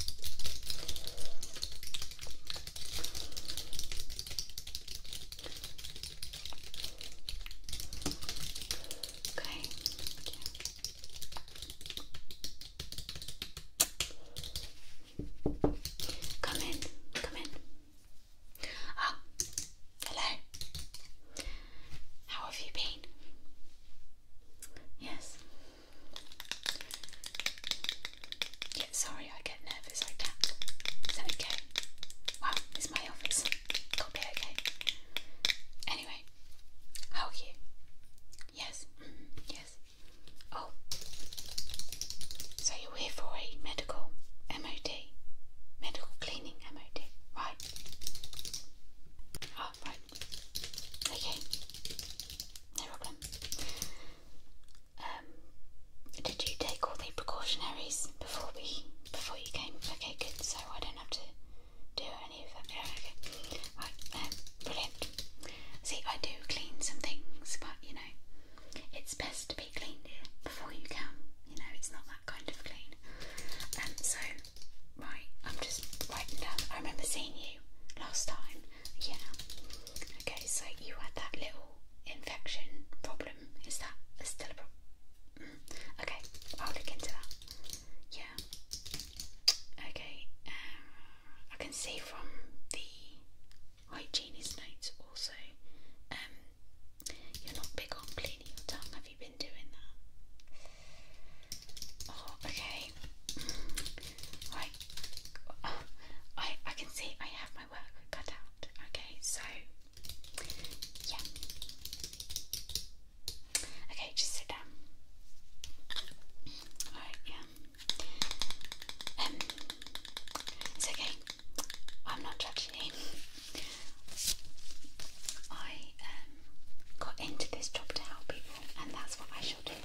Okay. Come in. Come in. Ah, hello. How have you been? Yes sorry, I get nervous like that. Is that okay? Wow, it's my office. Got be okay. Anyway, how are you? Yes, mm-hmm. yes. Oh, so you're here for a medical MOD, medical cleaning MOD, right? right. Oh, okay. No problem. Um, did you take all the precautionaries before we before you came? Okay, good. So I don't have to do any of that. Yeah, okay. Right. Um, brilliant. See, I do clean some things, but you know, it's best to be cleaned before you come. You know, it's not that kind of clean. And um, so, right, I'm just writing down. I remember seeing you last time, yeah. Okay, so you had that little infection problem. Is that still a problem? Mm. Okay, I'll look into that. Yeah. Okay. Uh, I can see from the hygienist notes also. Um, you're not big on cleaning your tongue. Have you been doing that? Oh, okay. Right. I I can see I have my work cut out. Okay, so yeah. Okay, just sit down. Alright, yeah. Um, it's okay. I'm not judging you. I um, got into this job to help people and that's what I shall do.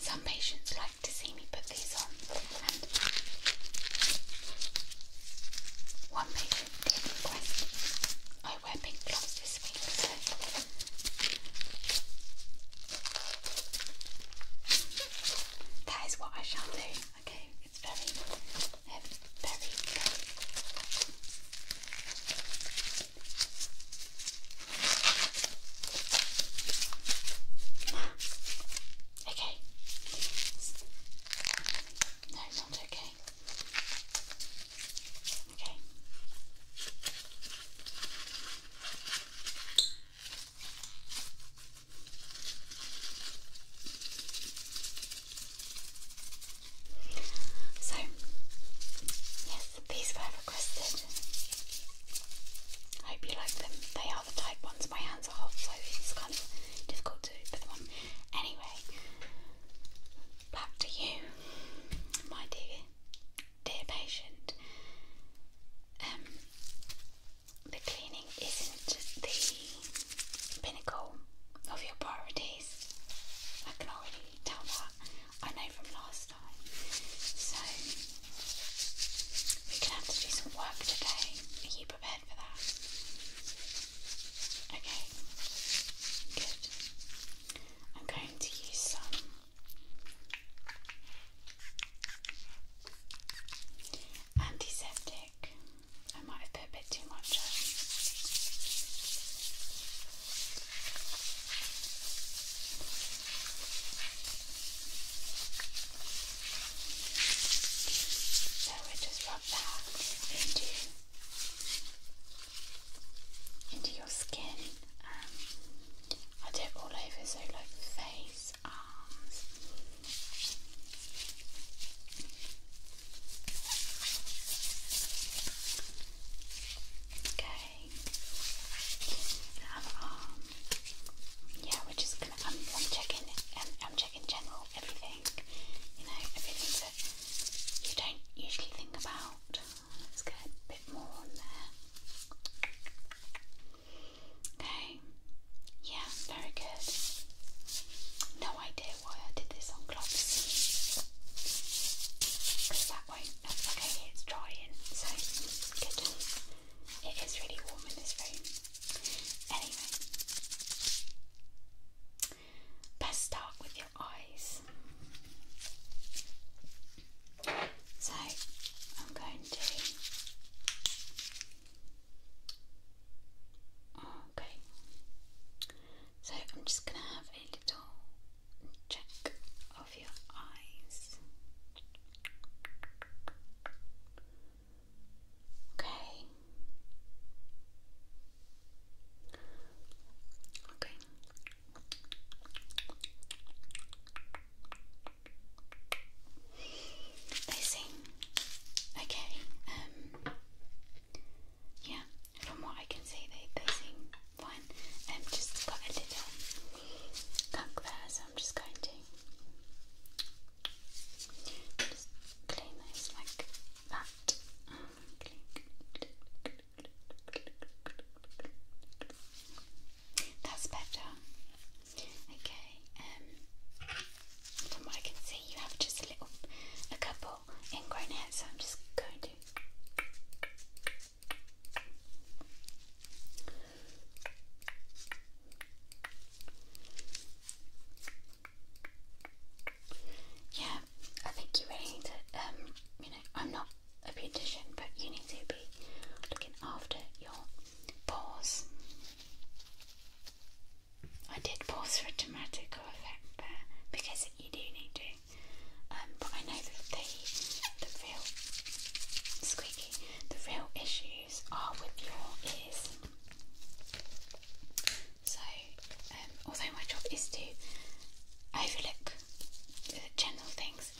Some patients like to see me put these on, one patient did request I wear pink gloves so that is what I shall do. Okay, it's very, very, very. Okay. No, not okay. Okay. So, yes, these were requested. I hope you like them. They are the type ones. My hands are hot, so it's kind of difficult to put Anyway, back to you, my dear dear patient, um, the cleaning isn't the pinnacle of your priorities. I can already tell that. I know from last time. So, we're going to have to do some work today. Are you prepared for that? Okay, good. I'm going to use some Antiseptic. I might have put a bit too much So we just rub that into into your skin. Um, I do it all over, so like face, arms. Okay, now arm. Um, yeah, we're just gonna. I'm, i checking. I'm checking general everything. You know, everything that you don't usually think about. Let's get a bit more on there. Okay. Yeah, very good. No idea why I did this on gloves. Because that won't. okay, it's drying, so good. It is really warm in this room. Anyway, best start with eyes. So I'm going to. Okay. So I'm just going to have a little check of your eyes. Okay. Okay. They sing. Okay. Um. Yeah. From what I can see, they they sing fine. Um. Just got a little gunk there, so I'm just going to just clean those like that. Um, that's better. Okay. Um, from what I can see, you have just a little, a couple ingrown hairs. So I'm just going to. Yeah, I think you really need to, um, you know, I'm not a beautician, but you need to be looking after your pores. I did pause for a dramatical effect there because you do need to, um, but I know that the the real squeaky, the real issues are with your ears. So, um, although my job is to overlook general things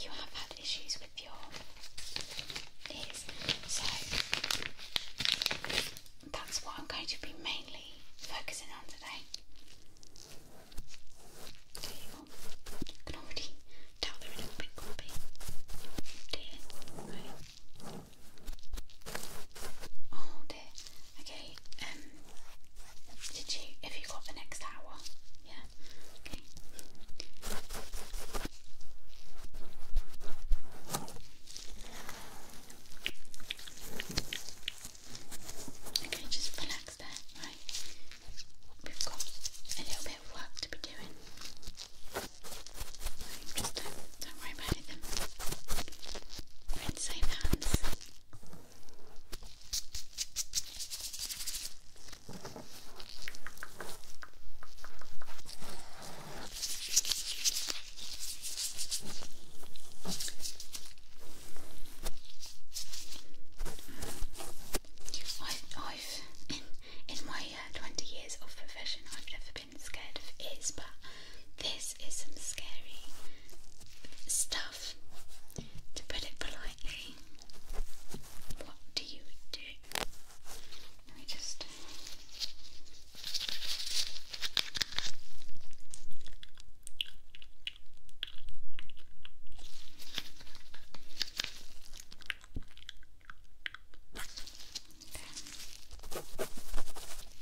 you have had issues with your ears. So that's what I'm going to be mainly focusing on today. can already tell they're a little bit grumpy. Right. Oh dear. Okay, um did you if you got the next hour? Yeah. Okay. Okay, just relax there, right? We've got a little bit of work to be doing. don't, worry about it then. We're hands. I've, in, my uh, 20 years of profession, I've never been scared of ears, but this is some scary stuff. To put it politely, what do you do? Let me just.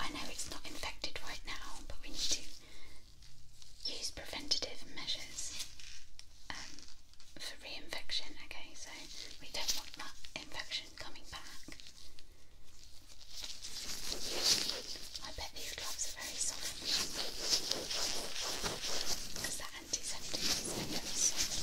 I know it's not infected right now, but we need to use preventative measures um, for reinfection. Okay, so we don't want that infection coming back. I bet these gloves are very soft because that antiseptic is very soft.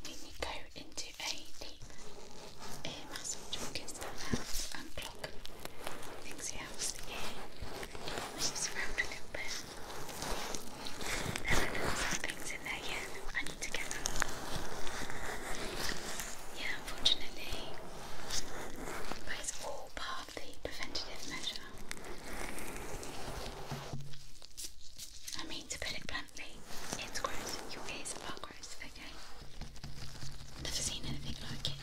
When you go into a deep ear massage, you can start out and clog things you have yeah, unfortunately. But it's all part of the preventative measure. I mean, to put it bluntly, it's gross. Your ears are gross, okay? Never seen anything like it.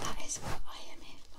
That is what I am here for.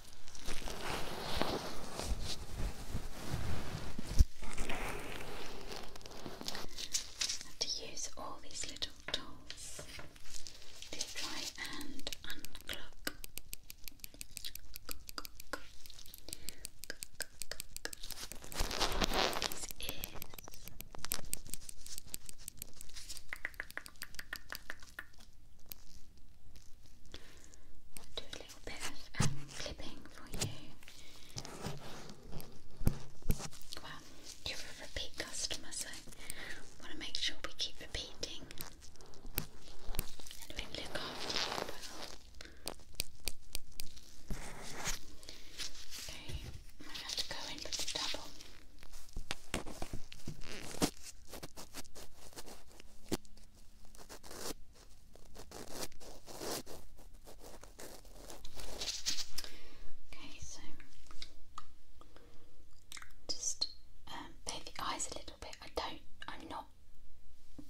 to use all these little tools to try and unclog. These ears. I'll do a little bit of um, clipping for you. Well, you're a repeat customer, so want to make sure we keep repeating Okay, I have to go in with the double. Okay, so just um, the eyes a little bit. I don't, I'm not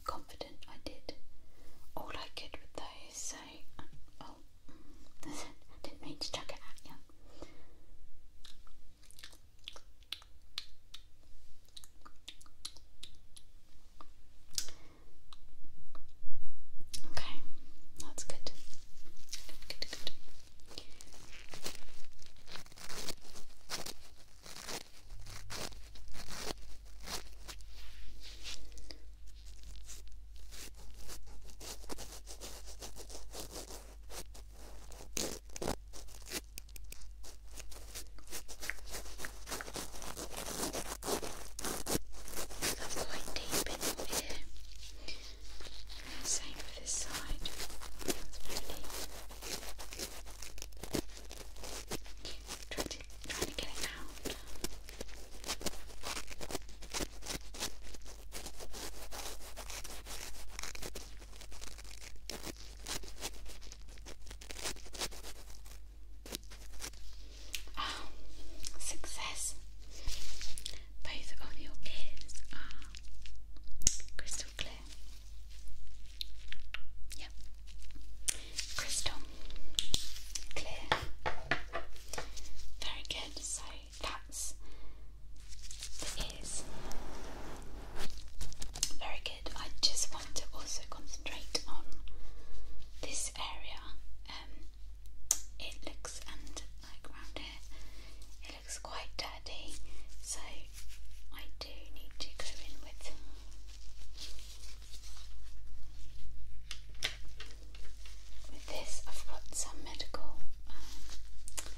confident I did all I could with those, so oh, didn't mean to chuck it at you. Okay, that's good. Good, good, good. Okay. That's quite deep in here. Same for this side. trying to get it out. Oh, success! Both of your ears are crystal clear. Yep, crystal clear. Very good. So that's the Very good. I just want to also concentrate on this area. Um, it looks and like around here, it looks quite dirty. So I do need to go in with. With this, I've got some medical um,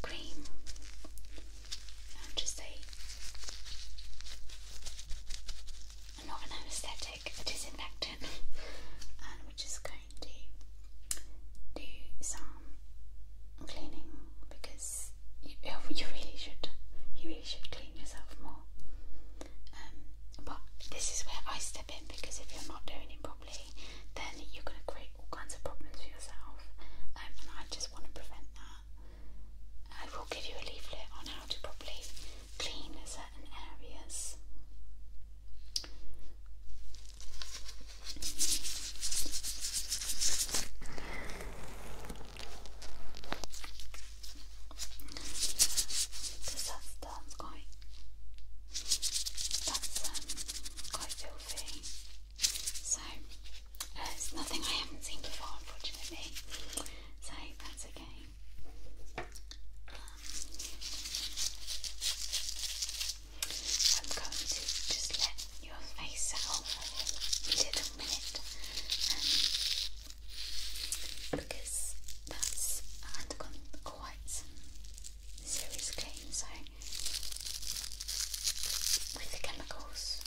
cream I'm just I'm not an anesthetic, a disinfectant, and we're just going to do some cleaning because you, you really should you really should clean yourself more. Um, but this is where I step in because if you're not doing it properly, then you're gonna create all kinds of problems for yourself, um, and I just want to prevent that. I will give you a leaflet on how to properly clean certain areas. Because that, that's quite, that's um, quite filthy. So it's nothing I haven't seen before, unfortunately. So that's okay. I'm um, going to just let your face settle for a little minute um, because that's undergone quite some serious clean. So with chemicals,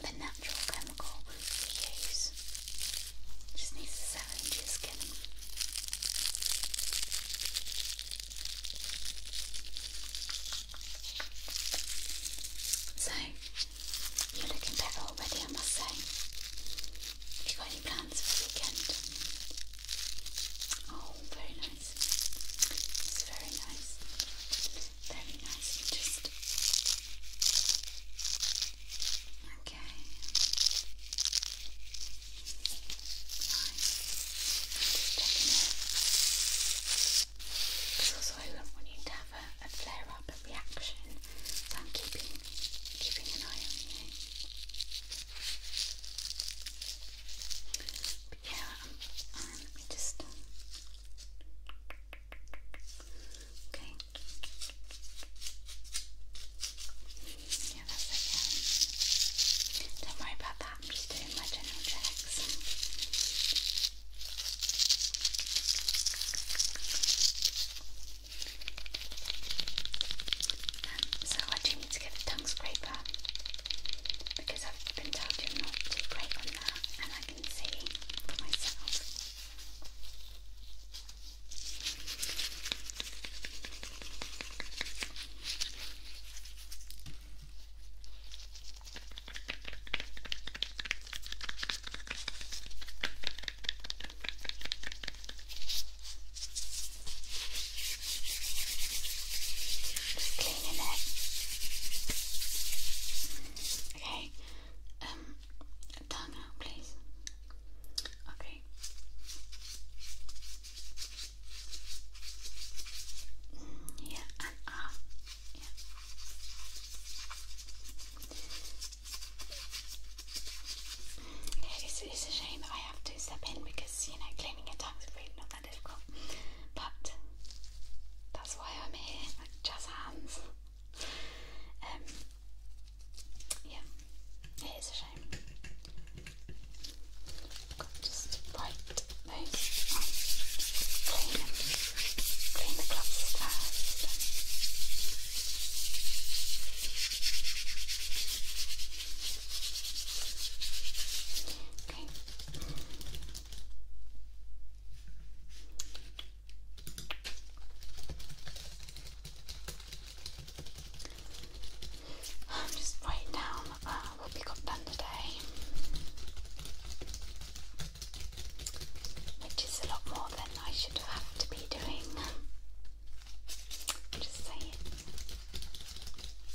the natural chemical we use. Just needs to settle into skin. So, you're looking better already, I must say. you got any plans for the weekend? Oh, very nice nice. It's very nice. Very nice. You just okay. Nice. Because also I don't want you to have a, flare up, a reaction. So I'm keeping keeping an eye on you yeah, let me just. okay. Yeah, that's okay. Don't worry about that. I'm just doing my general checks. so I do need to get a tongue scraper because I've been told you're not too great on that, and I can see for myself. Just cleaning it. Okay. Um, tongue um, um, out, please. Okay. Mm, yeah, and up. Yeah. Yeah, it's, it's a shame that I have to step in because you know cleaning your tongue's really not but that's why I'm here, jazz hands. Um, yeah, it is a shame. just write those clean clean the gloves first. Okay. I'm just writing down uh, what we got done today, which is a lot more than I should have to be doing. Just saying.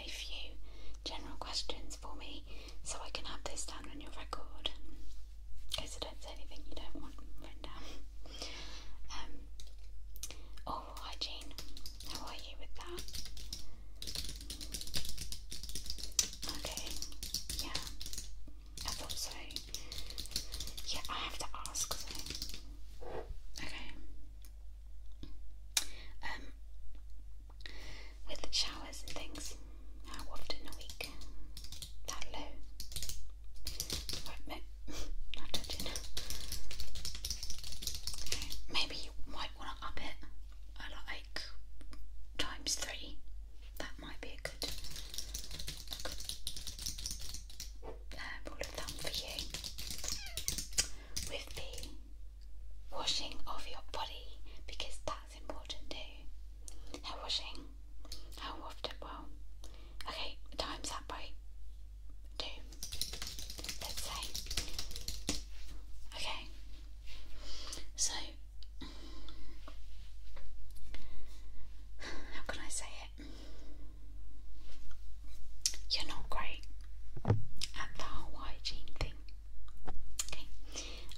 a few general questions for me so I can have this down on your record in case don't say anything you don't want written down. Um, oral hygiene, how are you with that? Okay, yeah, I thought so. Yeah, I have to ask, Okay. Um, with the showers and things, how often a week? That low. not touching. maybe you might want to up it. I like times three. That might be a good, a uh, of thumb for you. With the washing of your body because that's important too. Hair washing. How often? Well, okay, times that by two, let's say. Okay, so how can I say it? You're not great and the whole hygiene thing. Okay,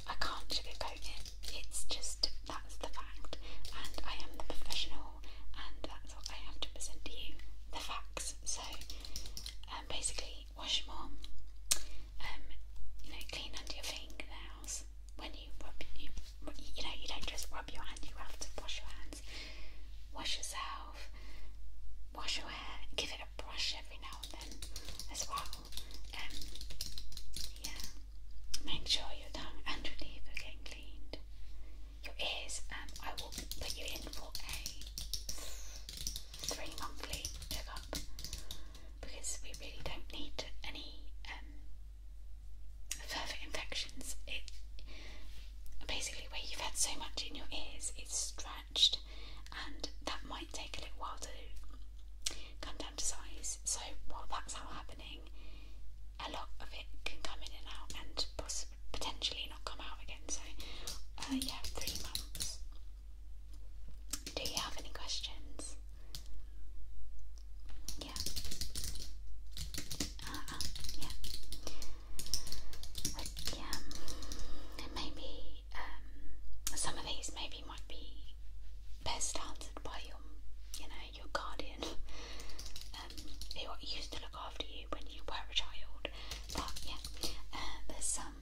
I can't sugarcoat it. It's just that's the fact, and I am the professional, and that's what I have to present to you the facts. So, um, basically, wash more. Um, you know, clean under your fingernails when you rub. You, you know, you don't just rub your hand; you have to wash your hand wash yourself, wash your hair, give it a brush every now and then as well. Um, yeah, make sure your tongue and your teeth are getting cleaned. Your ears, and um, I will put you in for a three monthly checkup because we really don't need any um, infections. It basically where you've had so much in your ears, it's dry and that might take a little while to come down to size. So, while that's all happening, a lot of it can come in and out and possibly potentially not come out again. So, uh, yeah, three months. Do you have any questions? Yeah. Uh, uh yeah like, um, maybe um, some of these maybe might be best answered by your, you know, your guardian, um, who used to look after you when you were a child. But yeah, uh, there's some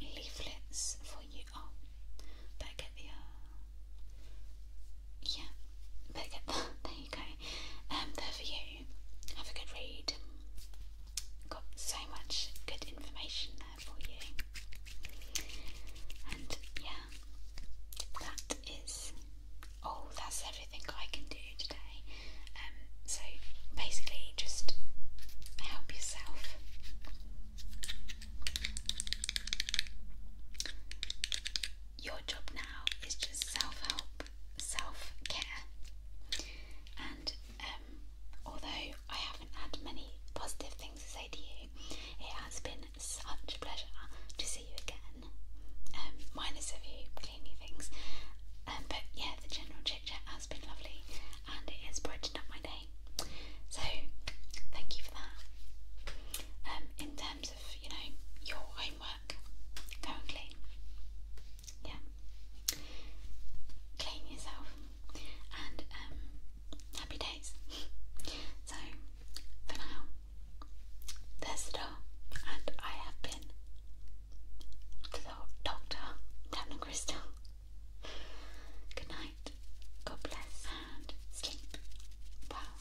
leaflets for you. Oh, better get the. Uh, yeah, better get that. There you go. Um, they're for you have a good read. Got so much good information there for you. And yeah, that is all. That's everything I can do today. Um, so basically, just help yourself. Your job now is just self help self care. And um, although I haven't had many positive things to say to you, it has been such pleasure to see you again. Um, minus a few cleaning things, um, but yeah, the general chit chat has been lovely, and it has brightened up my day. So thank you for that. in terms of you know your own work. Go and clean. Yeah. Clean yourself. And um, happy days. so, for now, there's the door. And I have been to the doctor, Captain Crystal. Good night. God bless and sleep well.